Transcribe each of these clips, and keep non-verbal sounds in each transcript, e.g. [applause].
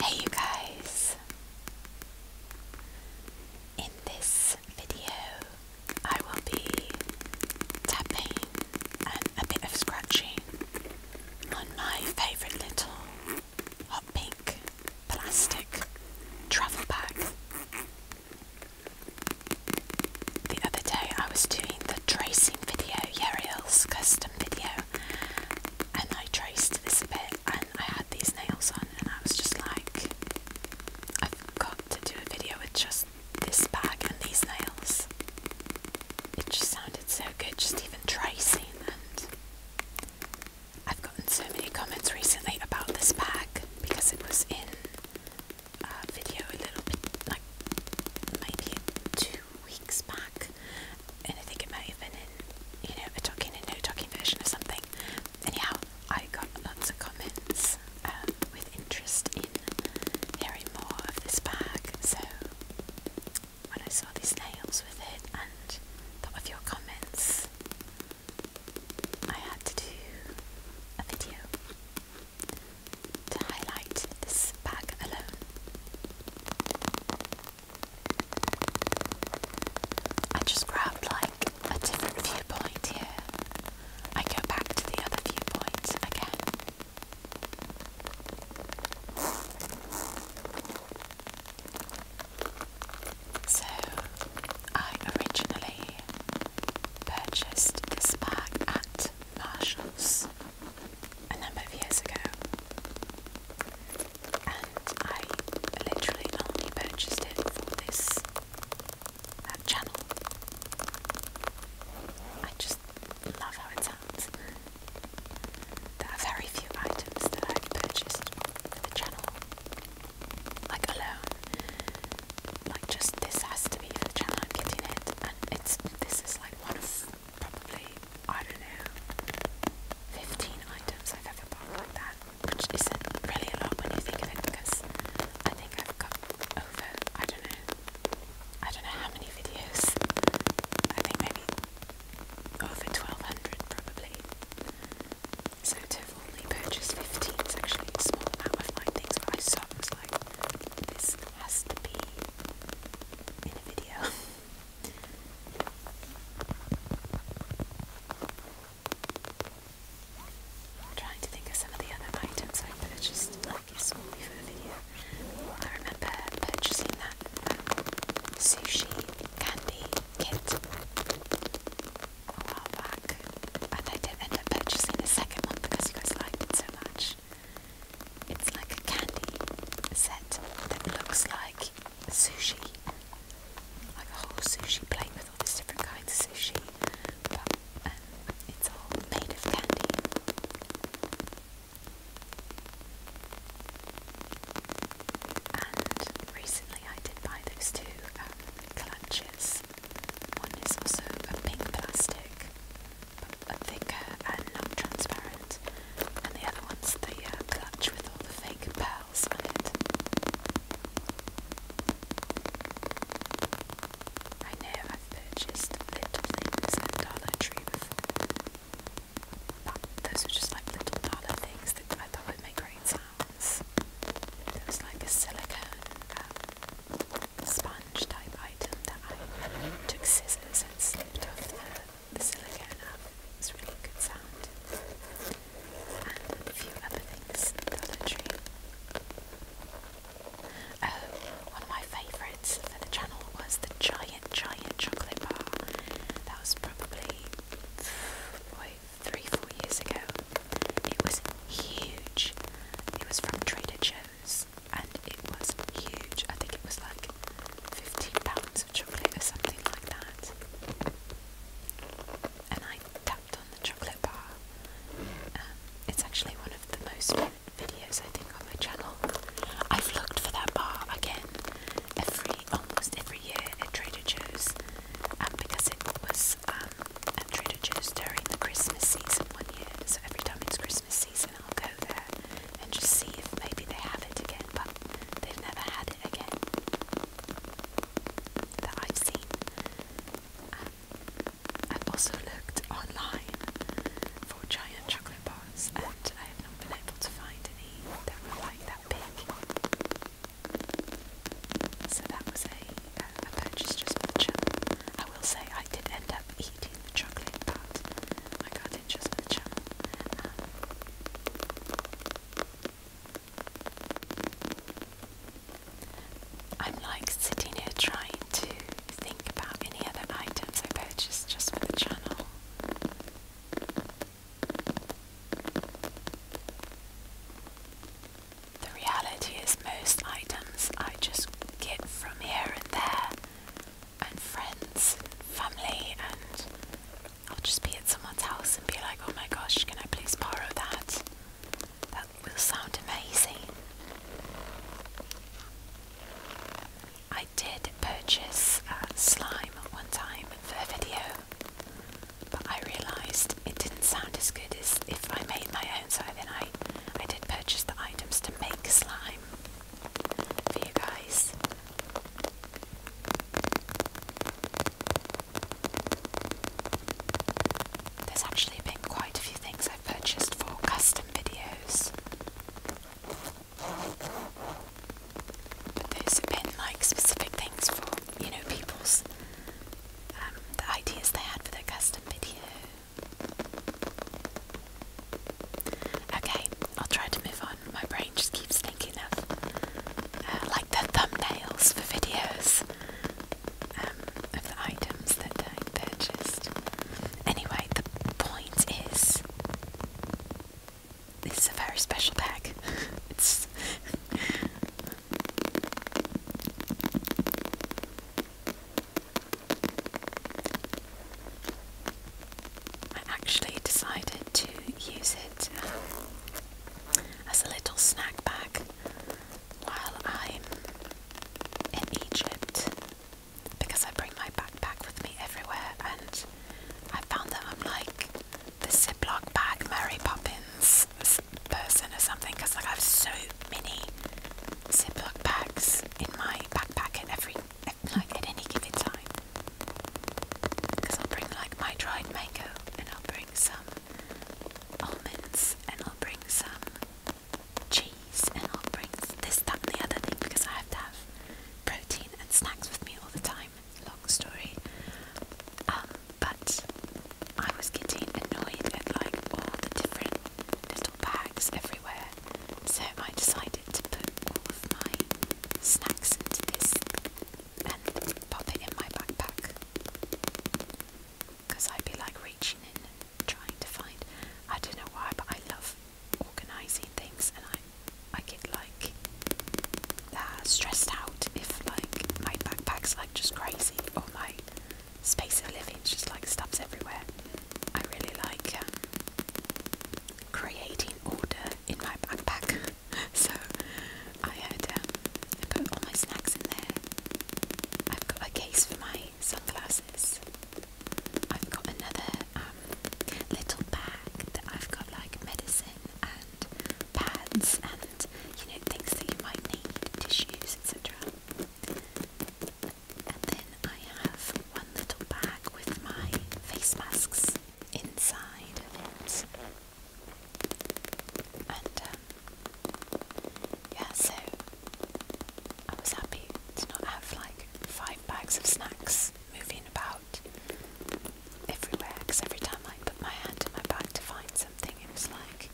Hey you guys! In this video I will be tapping and a bit of scratching on my favourite little hot pink plastic travel bag the other day I was doing the tracing video, Yeriel's custom video, and I traced this bit and I had these nails on and I was just like, I've got to do a video with just this bag and these nails. It just sounded so good, just even tracing and I've gotten so many comments recently about this bag because it was in uh, video a little bit, like maybe two weeks back, and I think it might have been in, you know, a talking and no talking version of something. Anyhow, I got lots of comments um, with interest in hearing more of this bag, so when I saw these nails with it and thought of your comments, I had to do a video to highlight this bag alone. I just grabbed like a different viewpoint here. I go back to the other viewpoint again. So I originally purchased this bag at Marshalls a number of years ago, and I literally only purchased it for this channel. I just love how it sounds. There are very few items that I've purchased for the channel, like alone, like just this has to be the channel I'm getting it, and it's this is like one of probably I don't know 15 items I've ever bought like that, which is really a lot when you think of it because I think I've got over I don't know I don't know how many videos I think maybe over 1200 probably. So to have only purchased 15 is actually a small amount of like things, but I saw this has to be in a video. [laughs] trying to think of some of the other items I purchased, like it's only for a video. I remember purchasing that um, sushi candy kit a while back, and I did end up purchasing the second one because you guys liked it so much. It's like a candy set that looks like sushi, like a whole sushi plate with all these different kinds of sushi, but um, it's all made of candy. And recently I did buy those two um, clutches this one is also a pink plastic, but thicker and not transparent, and the other one's the uh, clutch with all the fake pearls on it. I know I've purchased little things at Dollar Tree but those are just like little dollar things that I thought would make great sounds. There was like a silicone um, sponge type item that I took scissors and slipped off the, silicone up. It was really good sound. And a few other things in Dollar Tree. Oh, one of my favourites for the channel was the giant, giant chocolate bar. That was probably, three, four years ago. It was huge. It was from Trader Joe's and it was huge. I think it was like fifteen pounds of chocolate or something like that. And I tapped on the chocolate bar. Um, it's actually one of the most videos I think on my channel. I've looked for that bar again every almost every year at Trader Joe's, and because it was was um, Trader Joe's during the Christmas season one year, so every time it's Christmas season, I'll go there and just see if maybe they have it again, but they've never had it again that I've seen. Um, I've also looked online for giant chocolate bars, and I have not been able to find any that were like that big. So that was a, purchase just for the channel. I will say I did end up eating the chocolate, but I got just for the channel. Um, I'm like sitting here trying to think about any other items I purchased just for the channel. The reality is, most items I just get from here and there, and friends, family, and I'll just be at someone's house and be like, oh my gosh, can I please borrow that? That will sound amazing. I did purchase uh, slime one time for a video, but I realised it didn't sound as good as if I made my own, so then I, I did purchase the items to make slime for you guys. There's actually been quite a few things I've purchased for custom videos. But has been like specific things for, you know, people's, um, the ideas they had for their custom video. Okay, I'll try to move on. My brain just keeps thinking of uh, like the thumbnails for videos um, of the items that I purchased. Anyway, the point is this is a very special bag. I actually decided to use it um, as a little snack bag while I'm in Egypt because I bring my backpack with me everywhere and I found that I'm like the Ziploc bag Mary Poppins person or something because like I have so many Ziploc bags in my backpack at every like at any given time. Because I'll bring like my dried mango and I'll bring some almonds and I'll bring some cheese and I'll bring this, that and the other thing because I have to have protein and snacks with me all the time long story. Um, but I was getting annoyed at like all the different little bags everywhere, so I decided to put all of my snacks into this and pop it in my backpack because I'd be like reaching in and trying to find. I don't know why, but I love organising things and I I get like uh, stressed out if like my backpack's like just crazy or my space of living just like stuff's everywhere. I really like um, creating order in my backpack, [laughs] so um, I put all my snacks in there. I've got a case for my sunglasses. I've got another um, little bag that I've got like medicine and pads and you know things that you might need, tissues, etc. And then I have one little bag with my face masks inside of it. And um, yeah, so I was happy to not have like five bags of snacks moving about everywhere because every time I put my hand in my bag to find something, it was like,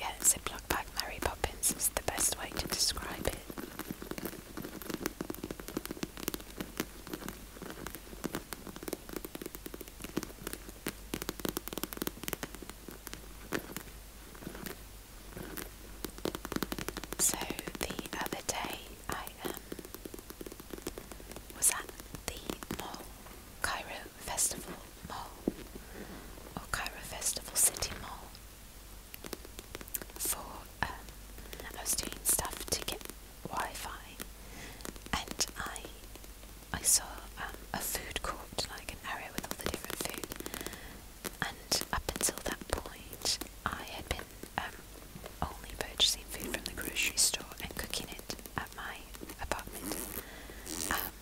yeah, ziplock bag Mary Poppins is the best way to describe it. So the other day I was at the mall, Cairo Festival Mall, or Cairo Festival City Mall, for I was doing stuff to get Wi-Fi, and I I saw um, a food court, like an area with all the different food, and up until that point, I had been um, only purchasing food from the grocery store and cooking it at my apartment. Um,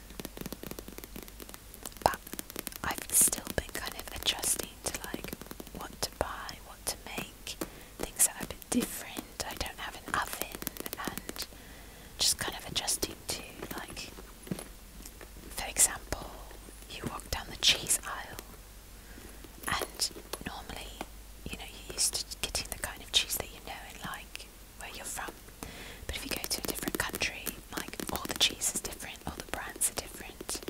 but I've still been kind of adjusting to like what to buy, what to make, things that are a bit different. I don't have an oven and just kind of adjusting to like for example, you walk down the cheese aisle and normally, you know, you're used to getting the kind of cheese that you know and like where you're from. But if you go to a different country, like all the cheese is different, all the brands are different.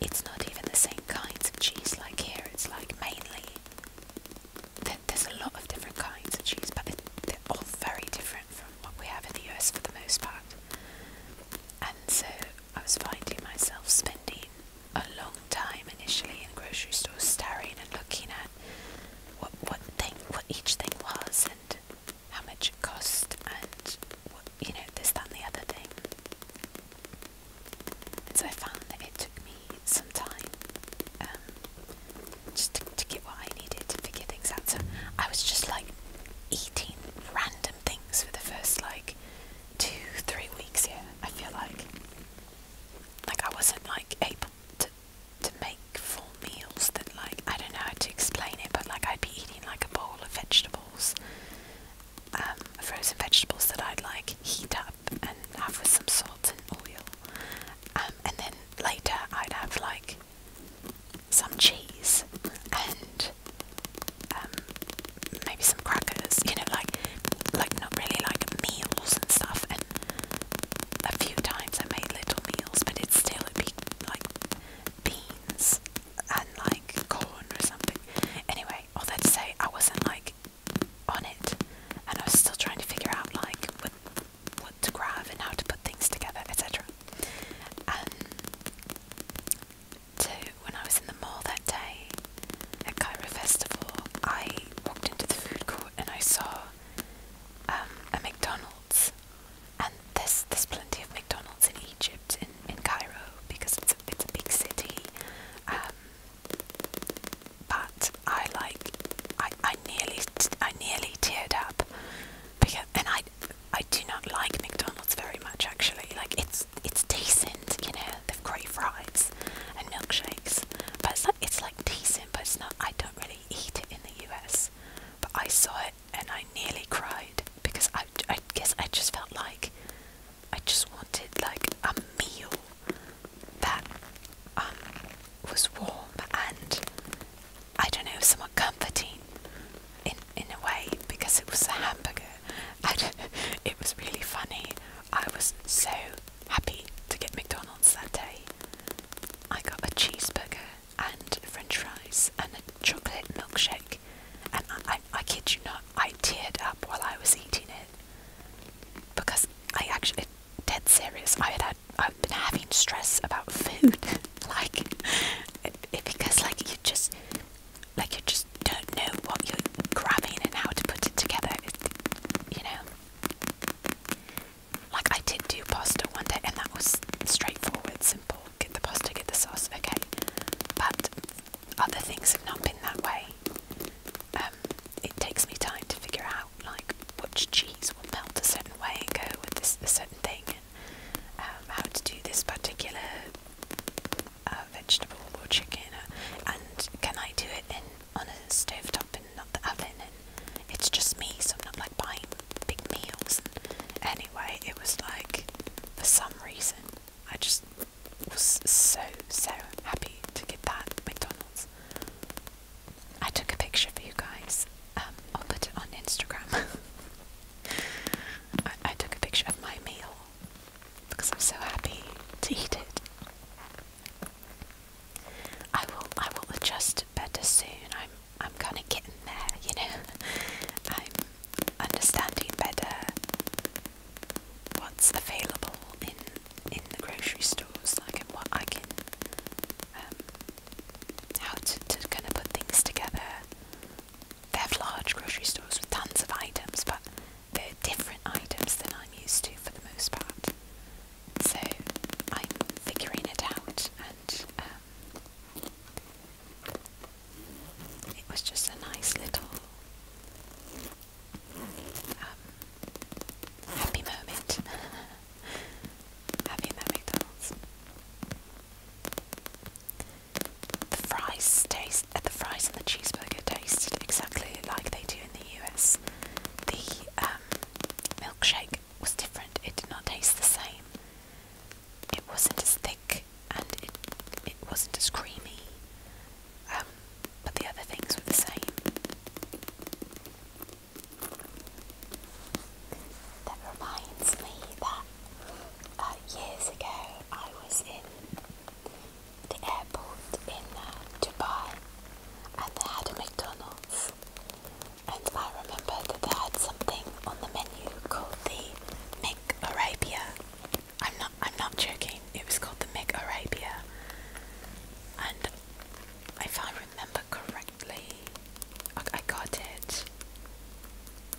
It's not even the same kinds of cheese like here, it's like mainly. there's a lot of different kinds of cheese, but they're, they're all very different from what we have in the US for the most part. And so I was finding myself spending a long time initially in grocery stores staring and looking at what what thing what each thing was and how much it cost and what you know this that and the other thing. And so I found that it took me some time um, just to get what I needed to figure things out. So I was just like eating random things for the first like two, three weeks here. I feel like like I wasn't like able to to make full meals that like I don't know how to explain it, but like I'd be eating like a bowl of vegetables, um, frozen vegetables that I'd like heat up and have with some salt and oil, um, and then later I'd have like some cheese and um, maybe some crackers, you know, like like not really like meals and stuff. And a few times I made little meals, but it's still it'd be like beans and like corn or something. Anyway, all that to say, I wasn't like on it, and I was still trying to figure out like what what to grab and how to put things together, etc. Too, when I was in the mall that day at Cairo Festival, I walked into the food court and I saw um, a McDonald's. And there's, there's plenty of McDonald's in Egypt, in, in Cairo, because it's a, it's a big city. Um, but I like, I, I nearly, I nearly teared up, because, and I, I do not like McDonald's very much actually. Like it's it's decent, you know. They've great fries and milkshakes, but it's like it's like decent, but it's not. I don't really eat it in the U.S. But I saw it and I nearly cried because I I guess I just felt like I just wanted like a meal that um was warm and I don't know, somewhat comforting in in a way because it was a hamburger. [laughs] it was really funny. I was so happy to get McDonald's that day. I got a cheeseburger and french fries and a chocolate milkshake. And I, I, kid you not, I teared up while I was eating it because I actually, dead serious, I had had, been having stress about food, [laughs] like because like you just like you just don't know what you're grabbing and how to put it together. you know, like I did do pasta one day, and that was straightforward, simple. Get the pasta, get the sauce, okay. But other things have not been that way. Um, it takes me time to figure out like which cheese will melt a certain way and go with this certain thing. Um, how to do this particular uh, vegetable or chicken, uh, and can I do it in on a stove top and not the oven? And it's just me, so I'm not like buying big meals. anyway, it was like for some reason I just was so so happy to get that McDonald's. I took a picture for you guys. Um, I'll put it on Instagram. [laughs] I, took a picture of my meal because I'm so happy to eat it. I will I will adjust better soon. I'm I'm kinda getting there, you know. [laughs] I'm understanding better what's available in in the grocery stores, like and what I can um, how to, kind of put things together. They have large grocery stores with tons of items, but they're different items than I'm used to for the most part. So I'm figuring it out, and um, it was just a nice little um, happy moment. [laughs] having that McDonald's. The fries taste, uh, the fries and the cheeseburger tasted exactly like they do in the US. The um, milkshake was different. It did not taste the same. It wasn't as thick and it it wasn't as creamy. Um, but the other things were the same. That reminds me that uh, years ago I was in the airport in uh, Dubai and they had a McDonald's and I remember that they had something on the menu called the McArabia. I'm not I'm not joking, it was called the McArabia and if I remember correctly, I, got it,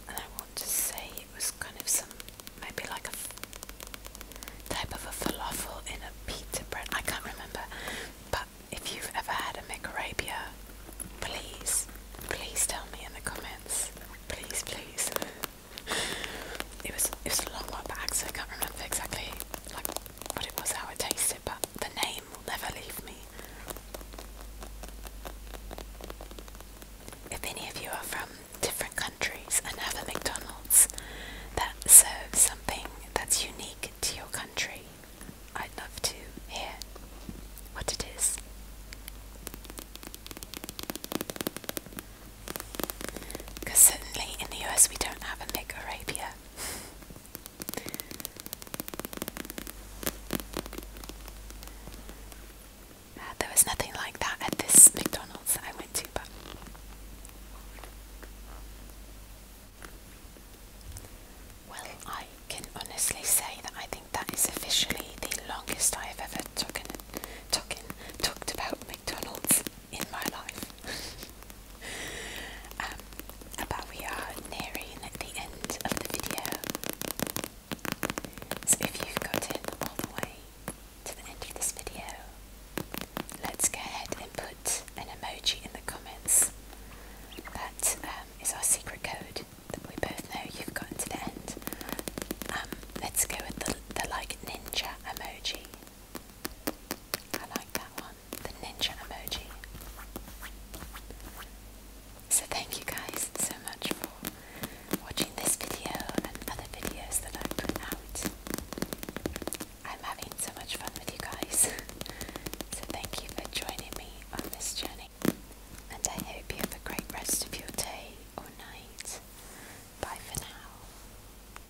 and I want to say it was kind of some maybe like a type of a falafel in a pita bread. I can't remember, but if you've ever had a macarabia, please, please tell me in the comments. Please, please. [laughs] it was it was a long while back, so I can't remember exactly like what it was, how it tasted, but the name will never leave me. If any of you are from different countries and have a McDonald's that serves something that's unique to your country, I'd love to hear what it is. Because certainly in the US we don't have a McArabia. [laughs] Uh, there was nothing like that at this McDonald's I went to, but well, I can honestly say that I think that is officially the longest I have ever talking, talking, talked about McDonald's in my life. [laughs] um, we are nearing the end of the video. So if you've gotten all the way to the end of this video, let's go ahead and put an emoji in the comments. That um, is our secret code that we both know you've gotten to the end. Um, let's go with the, the like ninja emoji. I like that one, the ninja emoji. So thank you guys so much for watching this video and other videos that I put out. I'm having so much fun with you guys. [laughs] so thank you for joining me on this journey. And I hope you have a great rest of your day or night. Bye for now.